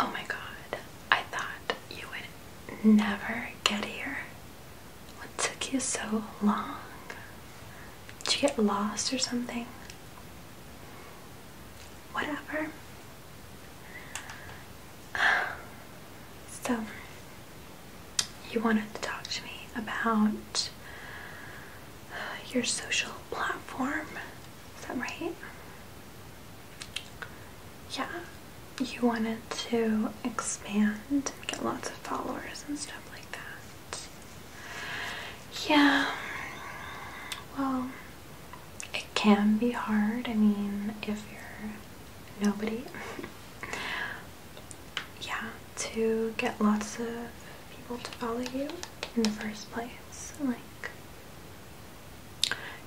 oh my god, I thought you would never get here. What took you so long? Did you get lost or something? Whatever. So, you wanted to talk to me about your social platform. Is that right? Yeah. You wanted to expand, get lots of followers and stuff like that. Yeah. Well, it can be hard. I mean, if you're nobody, yeah, to get lots of people to follow you in the first place. Like,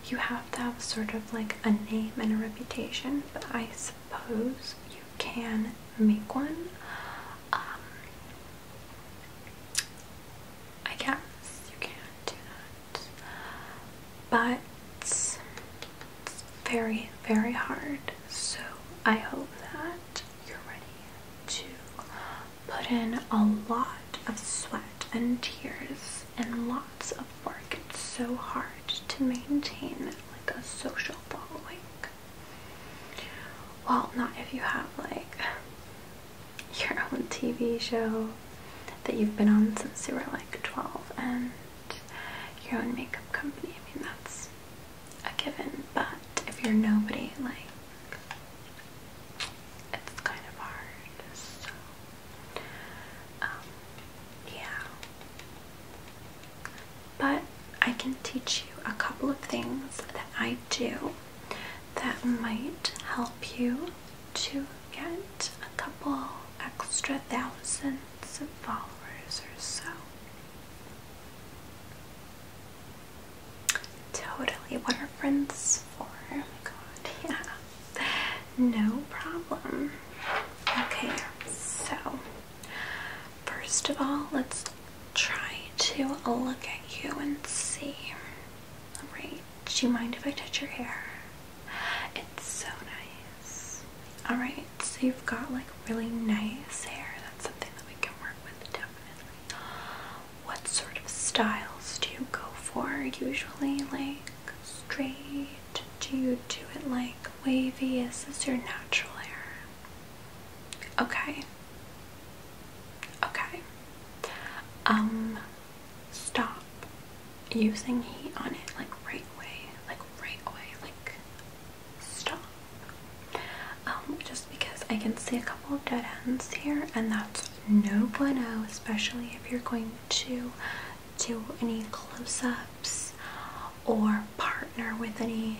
you have to have sort of like a name and a reputation, but I suppose you can make one. Um, I guess you can do that but it's very, very hard. So I hope that you're ready to put in a lot of sweat and tears and lots of work. It's so hard to maintain like a social following. Well, not if you have like your own TV show that you've been on since you were like 12 and your own makeup company. I mean, that's a given, but if you're nobody, like, it's kind of hard. So, um, yeah. But I can teach you a couple of things that I do that might help you to get a couple extra thousands of followers or so. Totally, what are friends for? Oh my god, yeah. No problem. Okay, so first of all, let's try to look at you and see. Alright, do you mind if I touch your hair? It's so nice. Alright, so you've got like really nice hair. That's something that we can work with definitely. What sort of styles do you go for usually? Like straight? Do you do it like wavy? Is this your natural hair? Okay. Okay. Um, stop using heat on it like right away, like right away, like stop. Um, just because I can see a couple of dead ends here, and that's no bueno, especially if you're going to do any close-ups or partner with any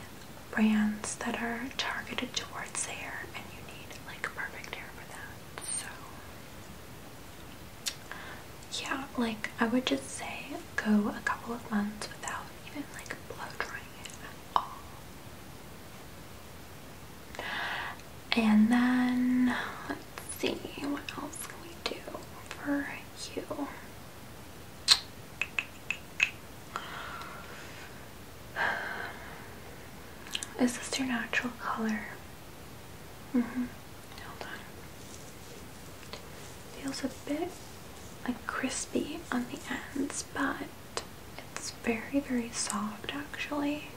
brands that are targeted towards hair and you need like perfect hair for that so yeah, like I would just say go a couple of months without even like blow drying it at all. And then let's see what else can we do for you. Is this your natural color? hmm Feels a bit like crispy on the ends, but it's very, very soft actually.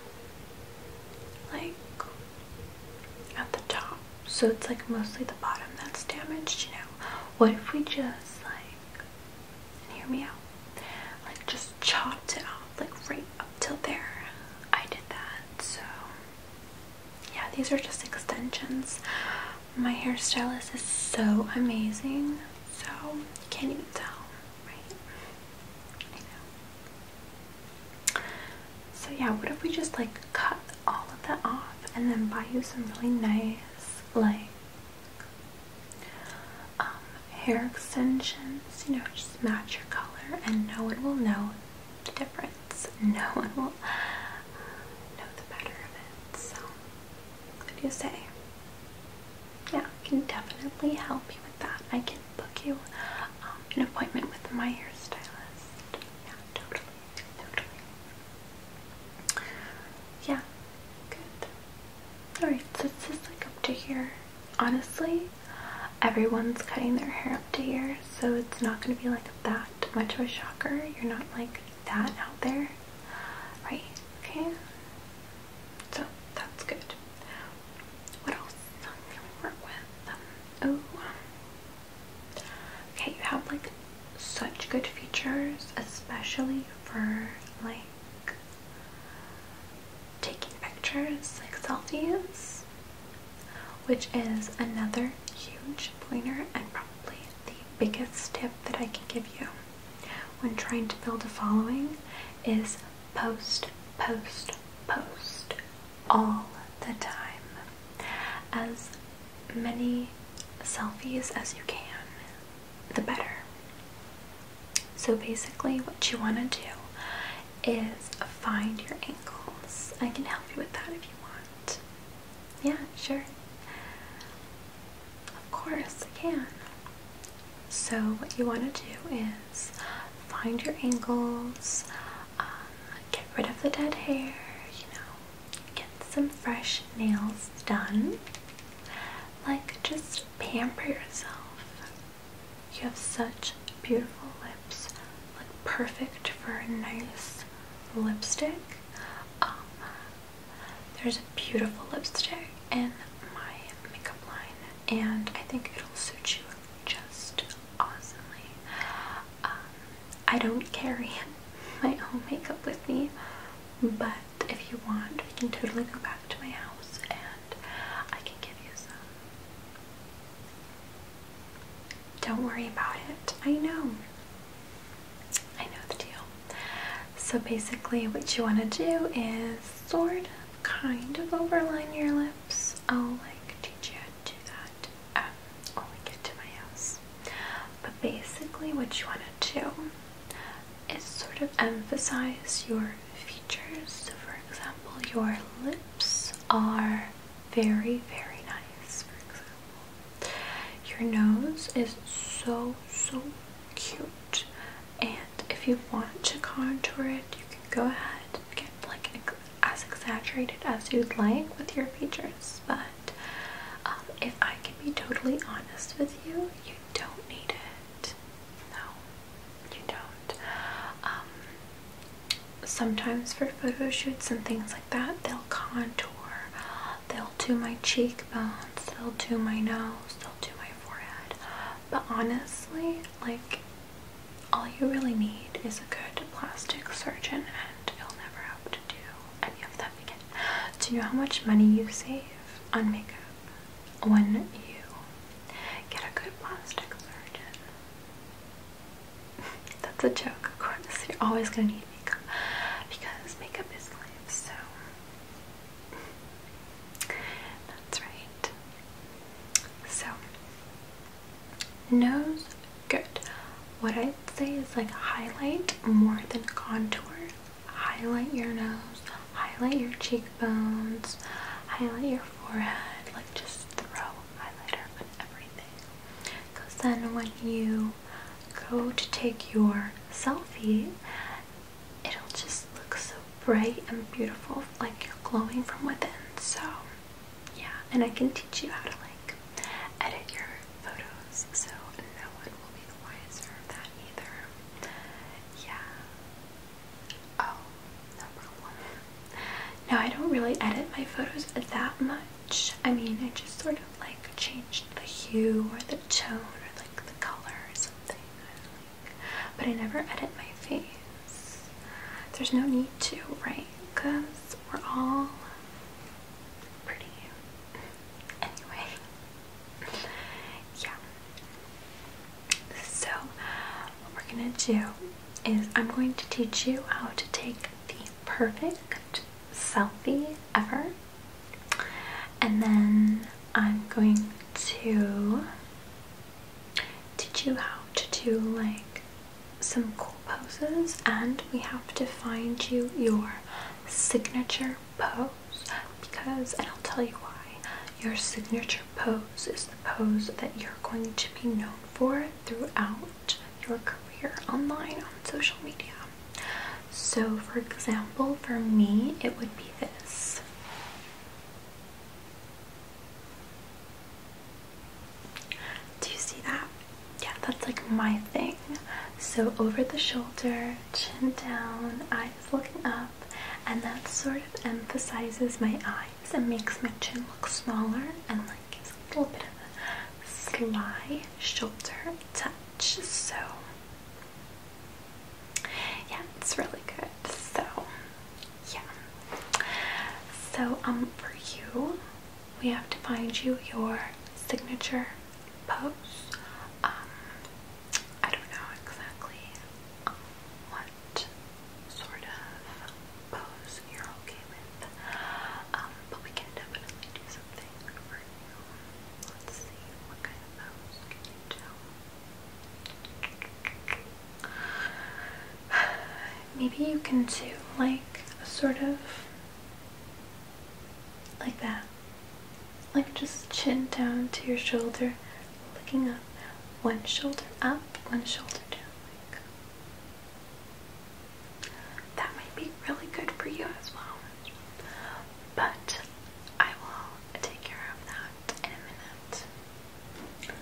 Like at the top. So it's like mostly the bottom that's damaged, you know. What if we just like hear me out? Like just chopped it off like right up till there. I did that, so yeah, these are just extensions. My hairstylist is so amazing, so you can't even tell, right? I know. So yeah, what if we just like cut all of that off and then buy you some really nice like um, hair extensions, you know, just match your color and no one will know the difference. No one will uh, know the matter of it. So, what do you say? Yeah, I can definitely help you with that. I can book you um, an appointment with my hairstylist. Yeah, totally, totally. Yeah, good. Alright, so it's just like up to here. Honestly, everyone's cutting their hair up to here, so it's not going to be like that much of a shocker. You're not like that out there, right? Okay, so that's good. What else can we work with? oh, okay, you have like such good features, especially for like taking pictures, like selfies which is another huge pointer and probably the biggest tip that I can give you when trying to build a following is post, post, post all the time. As many selfies as you can, the better. So basically what you want to do is find your ankles. I can help you with that if you want. Yeah, sure. Of course, I can. So, what you want to do is find your ankles, um, get rid of the dead hair, you know, get some fresh nails done. Like, just pamper yourself. You have such beautiful lips, like perfect for a nice lipstick. Um, there's a beautiful lipstick in my makeup line, and I think it'll suit you just awesomely. Um, I don't carry my own makeup with me, but if you want, we can totally go back to my house and I can give you some. Don't worry about it. I know. I know the deal. So basically what you want to do is sort of kind of overline your lips. I'll like teach you how to do that um, when we get to my house. But basically what you want to do is sort of emphasize your features. So for example, your lips are very, very nice, for example. Your nose is so, so cute. And if you want to contour it, you can go ahead get like as exaggerated as you'd like with your features. But um, if I can be totally honest with you, you don't need it. No, you don't. Um, sometimes for photo shoots and things like that, they'll contour, they'll do my cheekbones, they'll do my nose, they'll do my forehead. But honestly, like, all you really need is a good plastic surgeon and you'll never have to do any of that again. Do you know how much money you save on makeup when you get a good plastic surgeon? That's a joke, of course. You're always gonna need makeup because makeup is life, so that's right. So nose good. What I'd say is like highlight more than contour. Highlight your nose, highlight your cheekbones, highlight your forehead, like just throw highlighter on everything. Because then when you go to take your selfie, it'll just look so bright and beautiful, like you're glowing from within. So, yeah, and I can teach you how to like edit your photos, so no one will be the wiser of that either. Yeah. Oh, no problem. Now I don't really edit my photos that much. I mean, I just sort of like change the hue or the tone or like the color or something. but I never edit my face. There's no need to, right? Because we're all pretty. Anyway, yeah. So, what we're gonna do is I'm going to teach you how to take the perfect selfie ever. And then I'm going to teach you how to do like some cool poses and we have to find you your signature pose because, and I'll tell you why, your signature pose is the pose that you're going to be known for throughout your career online on social media. So, for example, for me, it would be this. Do you see that? Yeah, that's like my thing. So, over the shoulder, chin down, eyes looking up, and that sort of emphasizes my eyes and makes my chin look smaller and like gives a little bit of a sly shoulder touch. So yeah, it's really good. So yeah. So um for you we have to find you your signature pose. Um I don't know exactly what sort of pose you're okay with. Um, but we can definitely do something for you. Let's see, what kind of pose can do? Maybe you can too, like a sort of like that. Like just chin down to your shoulder, looking up. One shoulder up, one shoulder down. That might be really good for you as well. But I will take care of that in a minute.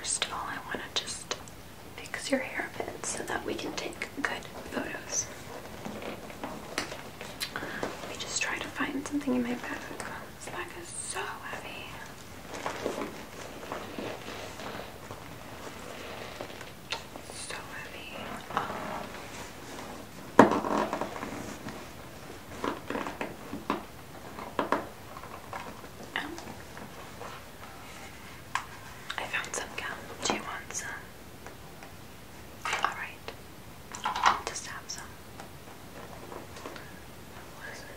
First of all, I want to just fix your hair a bit so that we can take good photos. Let me just try to find something in my bag. This bag is so heavy. So heavy. Um, I found some gum. Do you want some? Alright. Just have some. What is it?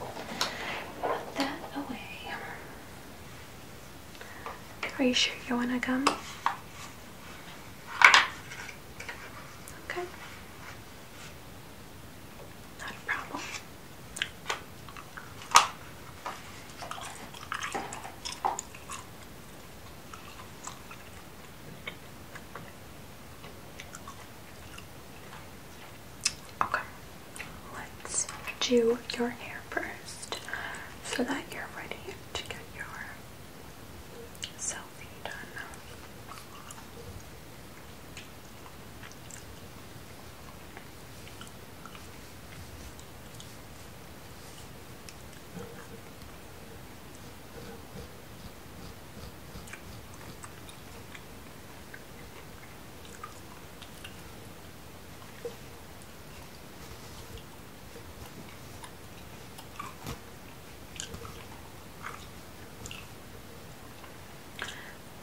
Put that away. Are you sure you want a gummy? Okay. Not a problem. Okay, let's do your hair first so that you're ready to get your selfie done.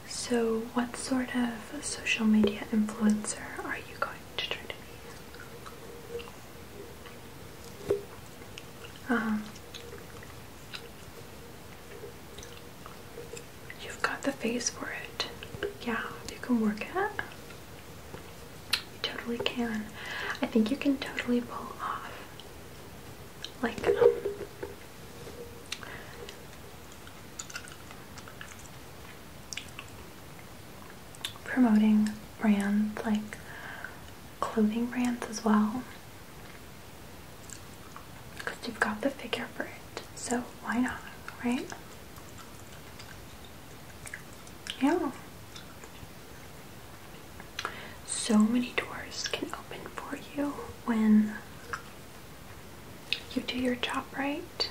So what sort of social media influencer are you going to try to be? Um, You've got the face for it. Yeah, you can work it. You totally can. I think you can totally pull off like um, promoting brands like clothing brands as well. Because you've got the figure for it, so why not, right? Yeah. So many doors can open for you when you do your job right.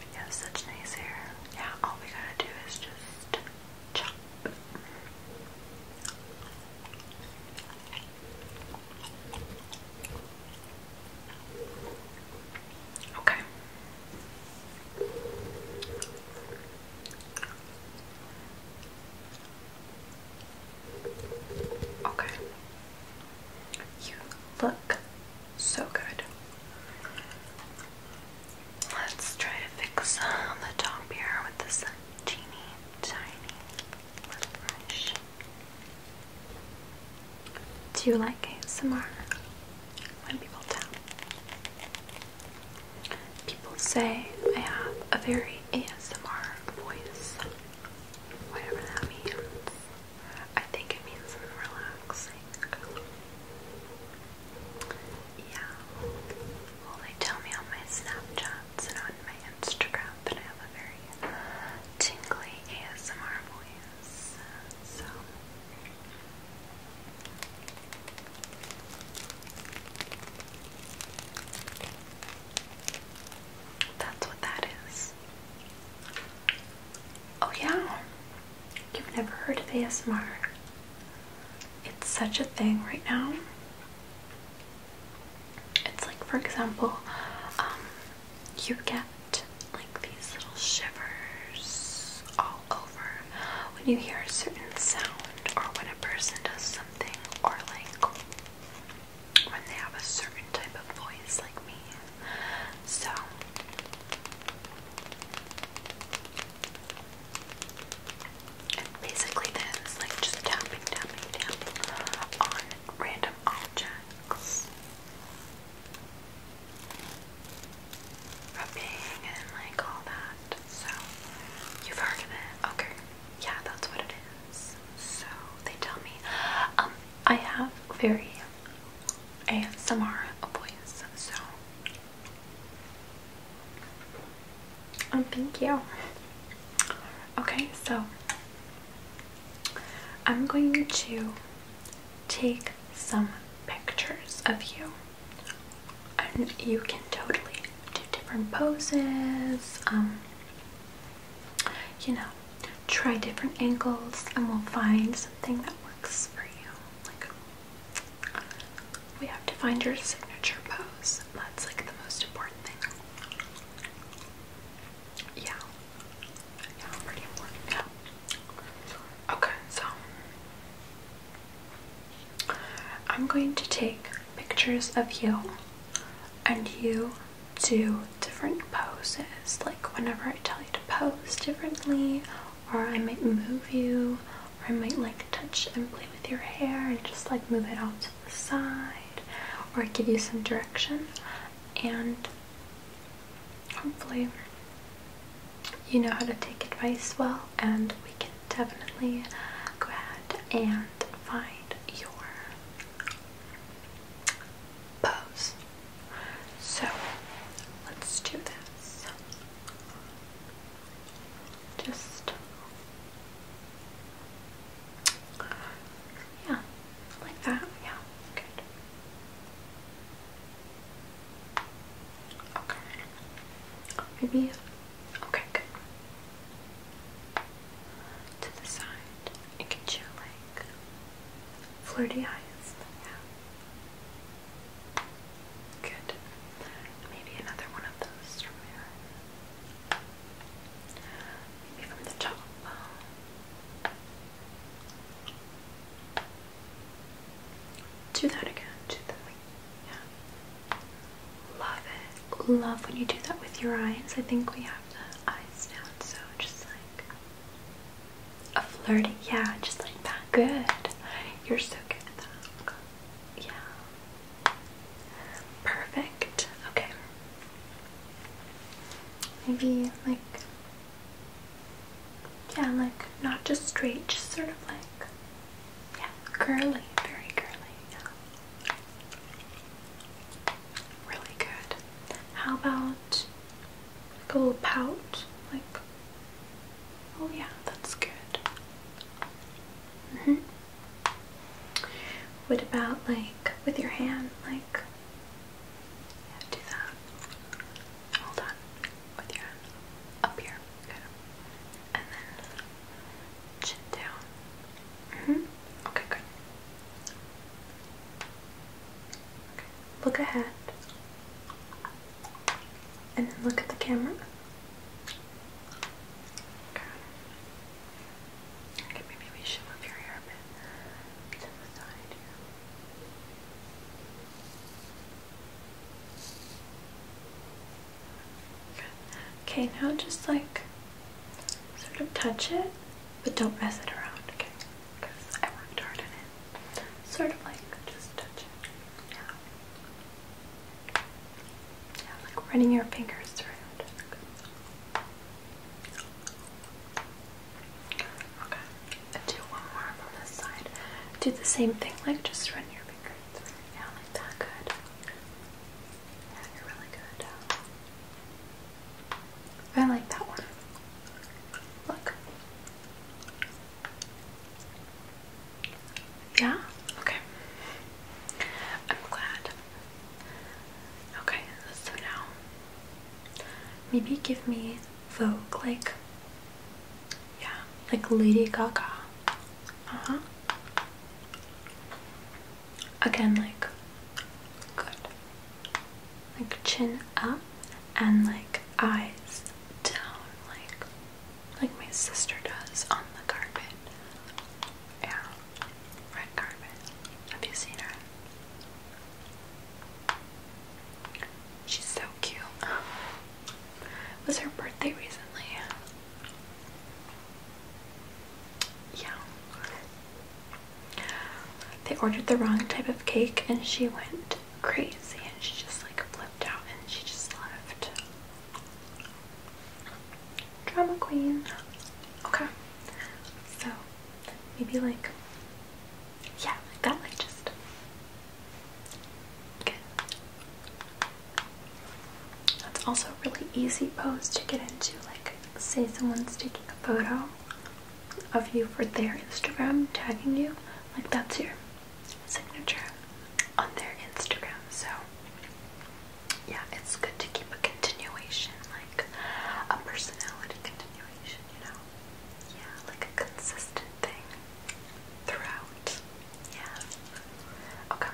You have such nice hair. Yeah, all we gotta do is just Okay. Okay. You look so good. Let's try to fix uh, the top here with this teeny tiny brush. Do you like ASMR? When people tell people say I have a very ASMR voice whatever that means. I think it means relaxing. Yeah. Well, they tell me on my Snapchats and on my Instagram that I have a very tingly ASMR voice. So. That's what that is. Oh, yeah. You've never heard of ASMR. It's such a thing right now. It's like, for example, um, you get like these little shivers all over when you hear a certain sound or when a person does something or like when they have a certain type of voice like me. So basically this, like just tapping, tapping, tapping on random objects. Rubbing and like all that. So you've heard of it. Okay. Yeah, that's what it is. So they tell me. Um, I have very and some are voice, so um, thank you. Okay, so I'm going to take some pictures of you. And you can totally do different poses. Um, you know, try different angles and we'll find something that works for you. Like, we have to find your signature pose. That's like the most important thing. Yeah. Yeah, Okay, so I'm going to take pictures of you and you do different poses. Like whenever I tell you to pose differently, or I might move you, or I might like touch and play with your hair and just like move it off to the side, or give you some direction. And hopefully, you know how to take advice well, and we can definitely go ahead and find your pose. So let's do this. Just yeah, like that. Yeah, good. Okay. Maybe. Okay, good to the side. It can you like flirty eyes. Yeah. Good. Maybe another one of those from here. Maybe from the top. Do that again. Do that. Yeah. Love it love when you do that with your eyes. I think we have the eyes down, so just like a flirty, yeah, just like that. Good. You're so good at that. Yeah. Perfect. Okay. Maybe like yeah, like not just straight, just sort of like yeah, curly, very curly. Yeah. Really good. How about like a little pout? Like, oh yeah, that's good. hmm What about like with your hand? Like, do that. Hold on. With your hand up here. Good. And then chin down. -hmm. Okay, good. Okay. Look ahead. And look at the camera. Okay. Okay, maybe we should move your hair a bit to the side here. Okay, now just like Sort of touch it, but don't mess it around, okay? Because I worked hard on it. Sort of like just touch Yeah. Yeah, like running your fingers through it. Okay. okay. And do one more from this side. Do the same thing, like just run your fingers through. Yeah, like that. Good. Yeah, you're really good. I like that one. Look. Yeah? Okay. I'm glad. Okay, so now maybe give me Vogue, like, yeah, like Lady Gaga. Uh huh again like good like chin up and like eyes down like like my sister does on the carpet yeah red carpet have you seen her she's so cute it was her birthday recently yeah they ordered the wrong type of cake and she went crazy and she just like flipped out and she just left. Drama queen. Okay. So maybe like yeah, like that like just okay. That's also a really easy pose to get into, like say someone's taking a photo of you for their Instagram tagging you, like that's your signature on their Instagram. So yeah, it's good to keep a continuation, like a personality continuation, you know? Yeah, like a consistent thing throughout. Yeah. Okay.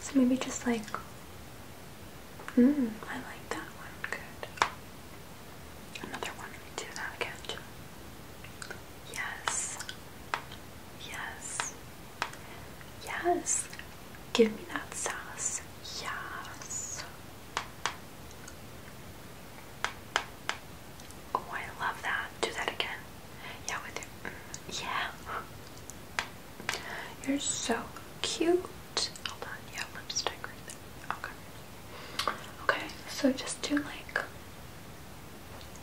So maybe just like, mm, I like that one. Good. Another one. Do that again. Yes. Yes. Yes. Give me that sauce. Yes. Oh, I love that. Do that again. Yeah, with your, mm, yeah. You're so cute. Hold on, yeah, lipstick Okay. Okay, so just do like,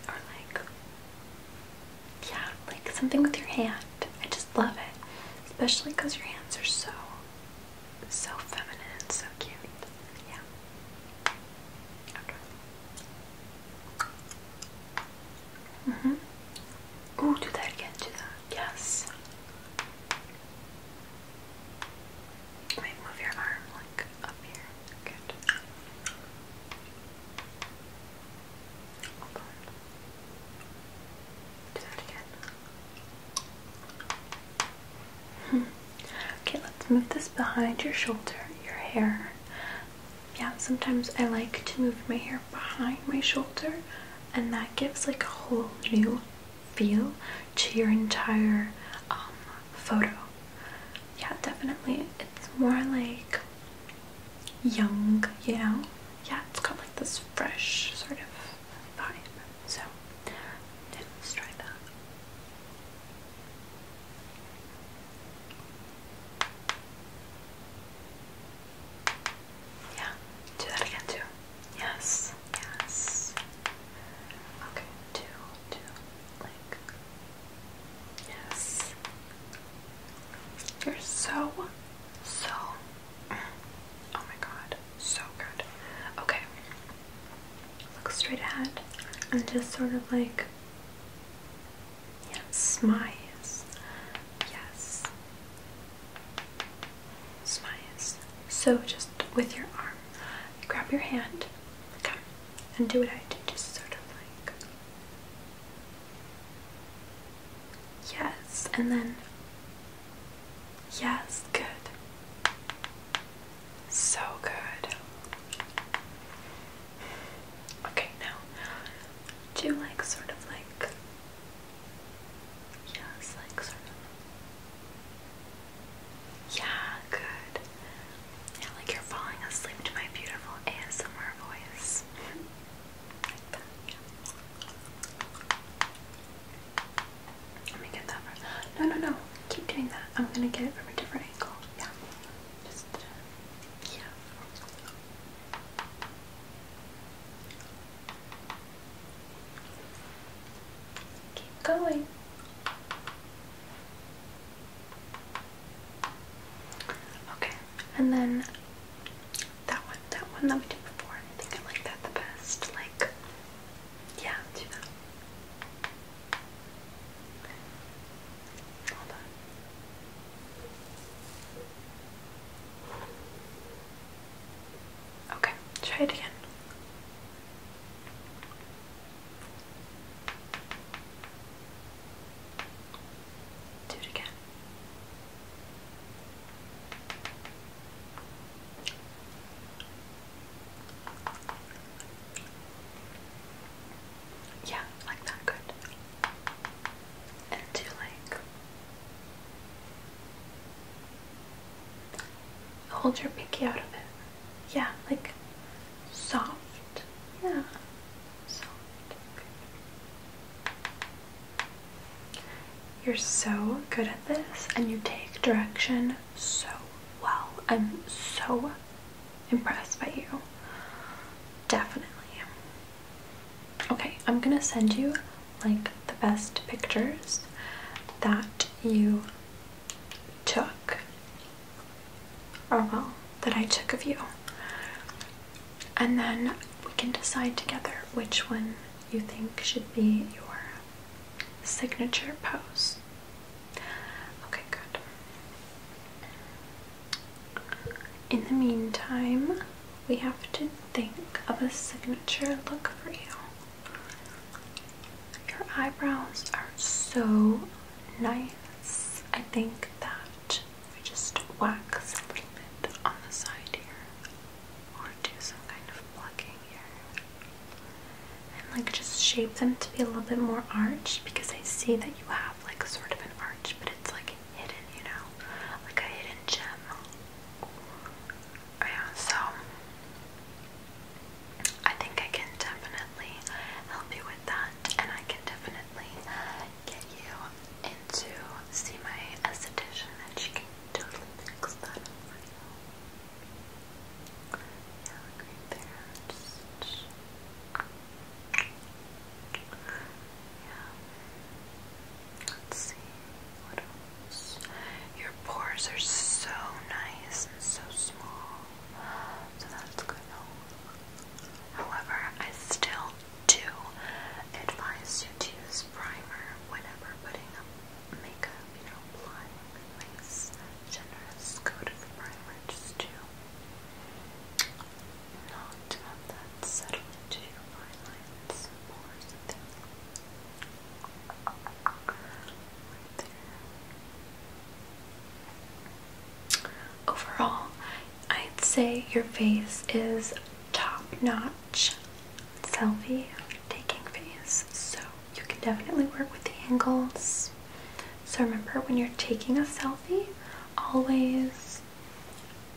or like, yeah, like something with your hand. I just love it, especially because your hands are so, so feminine and so cute. Yeah. Okay. hmm Ooh, do that again, do that. Yes. Wait, move your arm like up here. Do that again. okay, let's move this behind your shoulder, your hair. Yeah, sometimes I like to move my hair behind my shoulder and that gives like a whole new feel to your entire um, photo. Yeah, definitely. It's more like young, you know? Yeah, it's got like this fresh sort of vibe. So, let's try that. Yeah, do that again too. Yes, yes. Okay, two, two, like. Yes. You're so, so. Oh my god, so good. Okay. Look straight ahead and just sort of like. Yes, my Yes smiles. So just with your arm, grab your hand, come and do what I do, just sort of like yes, and then yes, good. So good. Okay, now do like sort of like yeah, it's like sort of. Yeah, good. Yeah, like you're falling asleep to my beautiful ASMR voice. Let me get that No, no, no. Keep doing that. I'm gonna get it from a different angle. yeah. Keep going. Okay, and then that one, that one that we did before, I think I like that the best. Like, yeah, do that. Hold on. Okay, try it again. Do it again. Yeah, like that, good. And do like Hold your pinky out of it. Yeah, like soft. Yeah, soft. You're so good at this and you take direction so well. I'm so impressed by you. Definitely. Okay, I'm gonna send you like the best pictures that you took, or well, that I took of you, and then we can decide together which one you think should be your signature pose. Okay, good. In the meantime, we have to think of a signature look for you. Your eyebrows are so nice. I think that we just wax a little bit on the side here or do some kind of plucking here. And like just shape them to be a little bit more arched because I see that you have like sort of an arch, but it's like hidden, you know, like a hidden gem. Yeah, so I think I can definitely help you with that, and I can definitely get you into see my esthetician, she can totally fix that for you. Yeah, like there. Yeah. Let's see what else. Your pores are so nice and so small, so that's good. However, I still do advise you to use primer whenever putting up makeup. You know, applying a nice, generous coat of primer just to not settle into Overall, I'd say your face is top-notch selfie taking face, so you can definitely work with the angles. So remember when you're taking a selfie, always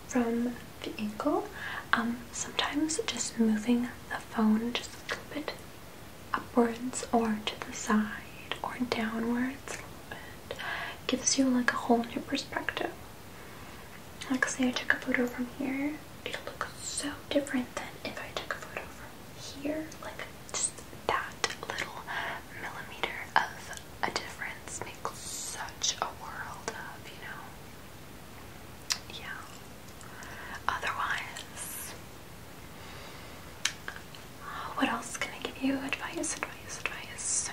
from the ankle. Um, sometimes just moving the phone just a little bit upwards or to the side or downwards gives you like a whole new perspective. Like say I took a photo from here, it looks so different than if I took a photo from here. Like just that little millimeter of a difference makes such a world of, you know yeah. Otherwise, what else can I give you? Advice, advice, advice.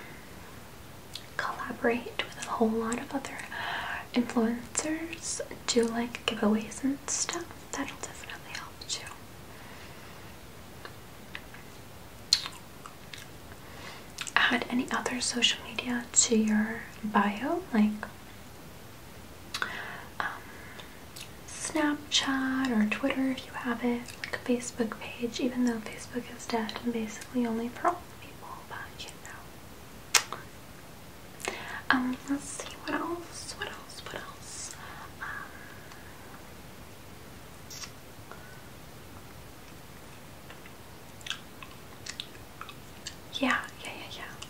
Collaborate with a whole lot of other influencers. Do like giveaways and stuff. That'll definitely help too add any other social media to your bio like um, Snapchat or Twitter if you have it, like a Facebook page, even though Facebook is dead and basically only for old people, but you know. Um, let's see what else, what else, what else? Um, yeah, yeah, yeah, yeah.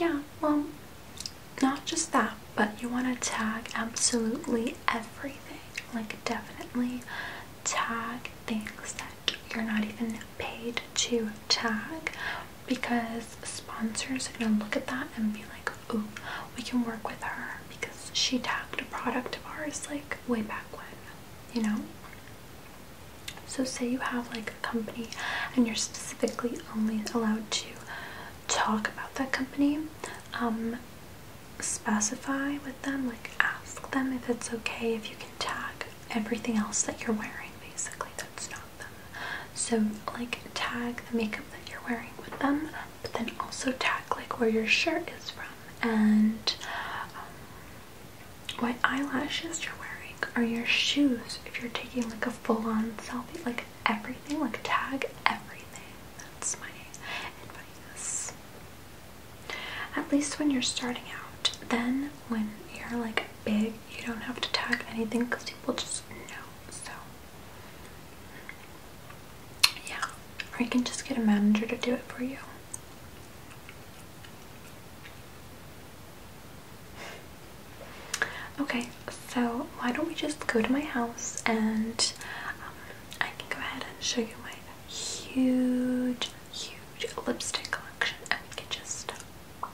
Yeah, well, not just that, but you want to tag absolutely everything. Like, definitely tag things that you're not even paid to tag because sponsors are going to look at that and be like, ooh, we can work with her because she tagged a product of ours like way back when, you know? So, say you have like a company and you're specifically only allowed to talk about that company, um, specify with them, like ask them if it's okay if you can tag everything else that you're wearing basically that's not them. So, like, tag the makeup that you're wearing with them, but then also tag like where your shirt is from and um, what eyelashes you're wearing Are your shoes if you're taking like a full-on selfie like everything like tag everything that's my advice at least when you're starting out then when you're like big you don't have to tag anything because people just know so yeah or you can just get a manager to do it for you Okay, so why don't we just go to my house and um, I can go ahead and show you my huge, huge lipstick collection and we can just um,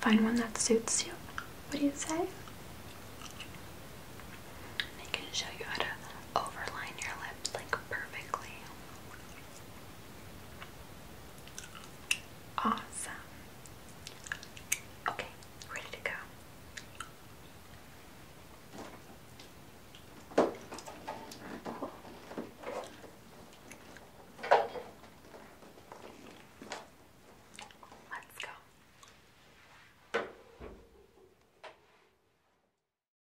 find one that suits you. What do you say? And I can show you how to overline your lips like perfectly. Awesome. Okay, ready to go. Let's go.